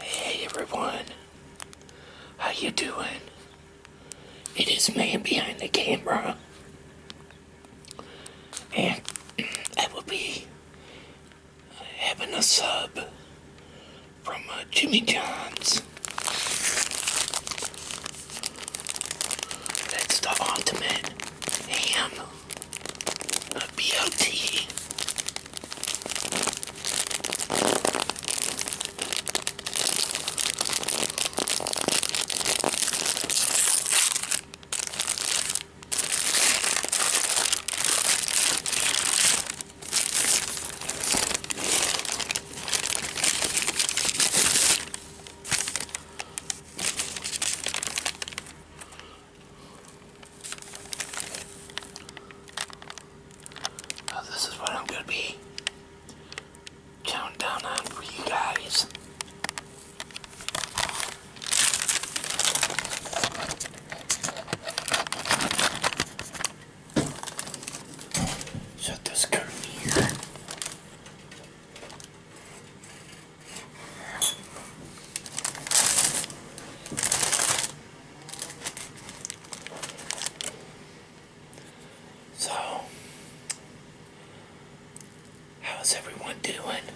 Hey everyone, how you doing? It is man behind the camera, and I will be having a sub from uh, Jimmy John's. That's the ultimate ham a BLT. Oh, this is what I'm going to be counting down on for you guys. Shut this curtain here. So, how's everyone doing?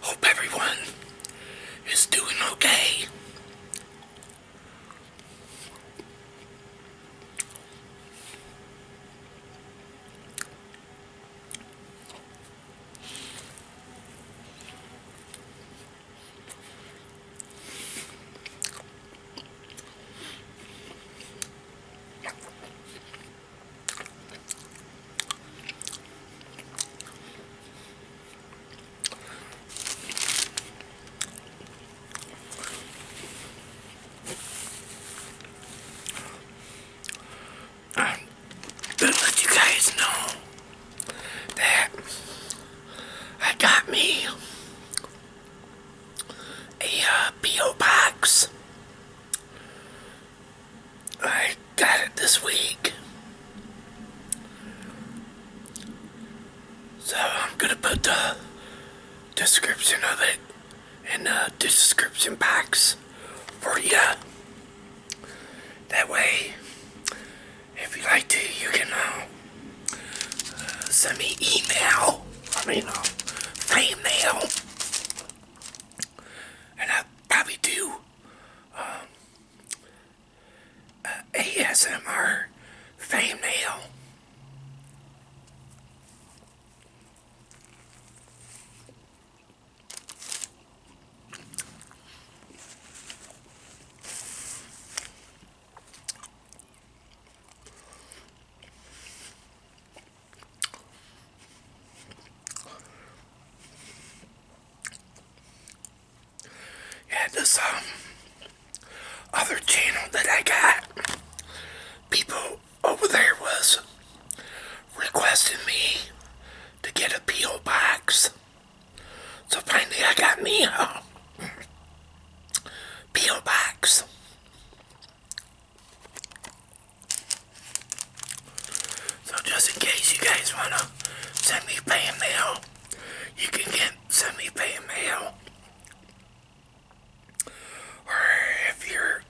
Hope everyone is doing okay to let you guys know that I got me a uh, P.O. box I got it this week. So I'm going to put the description of it in the description box for you. That way, if you like to, you can uh, send me email. I mean, uh, email and I probably do um, uh, ASMR thumbnail. Yeah, this um other channel that I got, people over there was requesting me to get a P.O. box. So finally I got me a P.O. box. So just in case you guys want to send me fan mail, you can get send me fan mail. Or if you're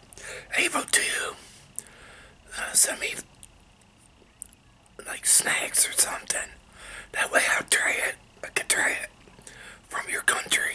able to, uh, send me like snacks or something. That way I'll try it. I can try it from your country.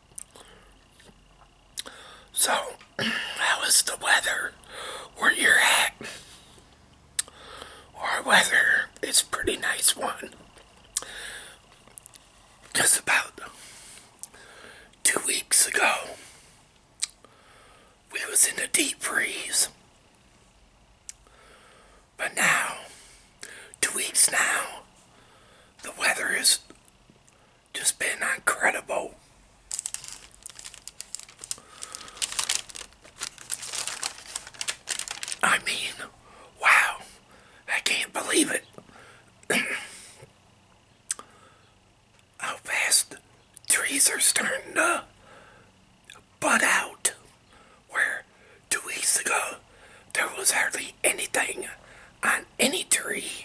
So, how is the weather where you're at? Our weather is pretty nice one. Just about two weeks ago, we was in a deep freeze. But now, two weeks now, the weather is just been incredible. I mean, wow, I can't believe it. How fast trees are starting to bud out. Where two weeks ago there was hardly anything on any tree.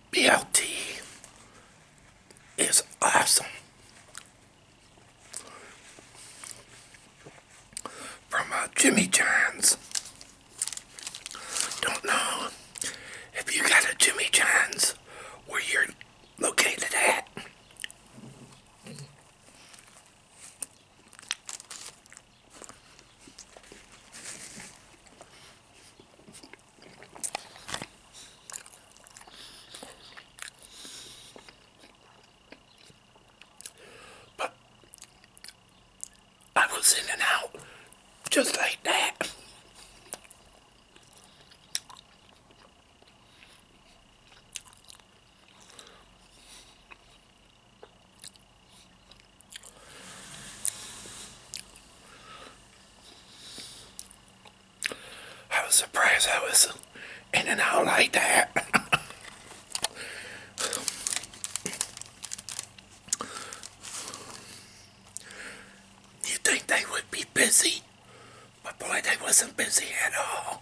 BLT is awesome. From uh, Jimmy John's. Don't know if you got a Jimmy John's where you're located at. But I was in and out just like that. I was surprised I was in and out like that. you think they would be busy? But boy, they wasn't busy at all.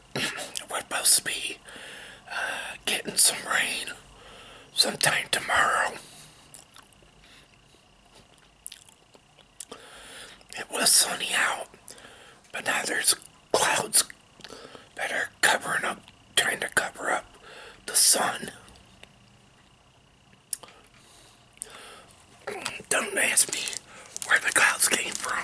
we're supposed to be uh, getting some rain sometime tomorrow. It was sunny out, but now there's clouds that are covering up, trying to cover up the sun. Don't ask me where the clouds came from.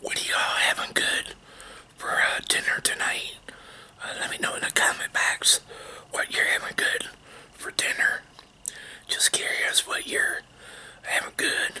What are y'all having good for uh, dinner tonight? Uh, let me know in the comment box what you're having good for dinner. Just curious what you're having good.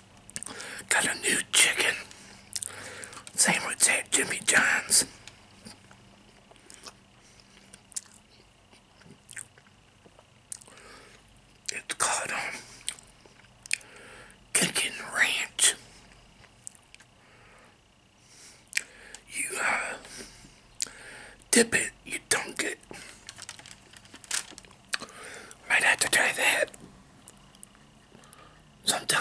Got a new chicken sandwich at Jimmy John's. It's called um, Chicken Ranch. You uh, dip it, you dunk it. Might have to try that sometime.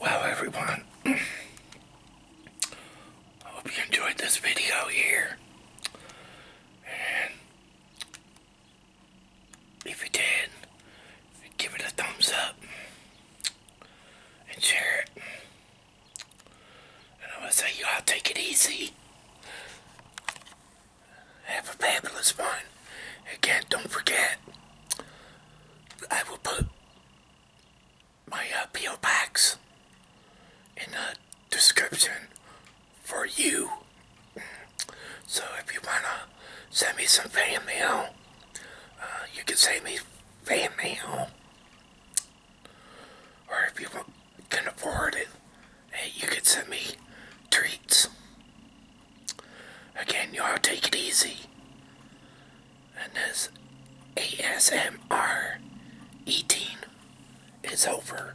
Wow, everyone, I hope you enjoyed this video here. If you did, give it a thumbs up and share it. And I'm going to say, y'all take it easy. Have a fabulous one. Again, don't forget, I will put my uh, P.O. box in the description for you. So if you want to send me some fan mail, uh, you can send me fan mail. Or if you can afford it, you can send me treats. Again, y'all take it easy. And this ASMR eating is over.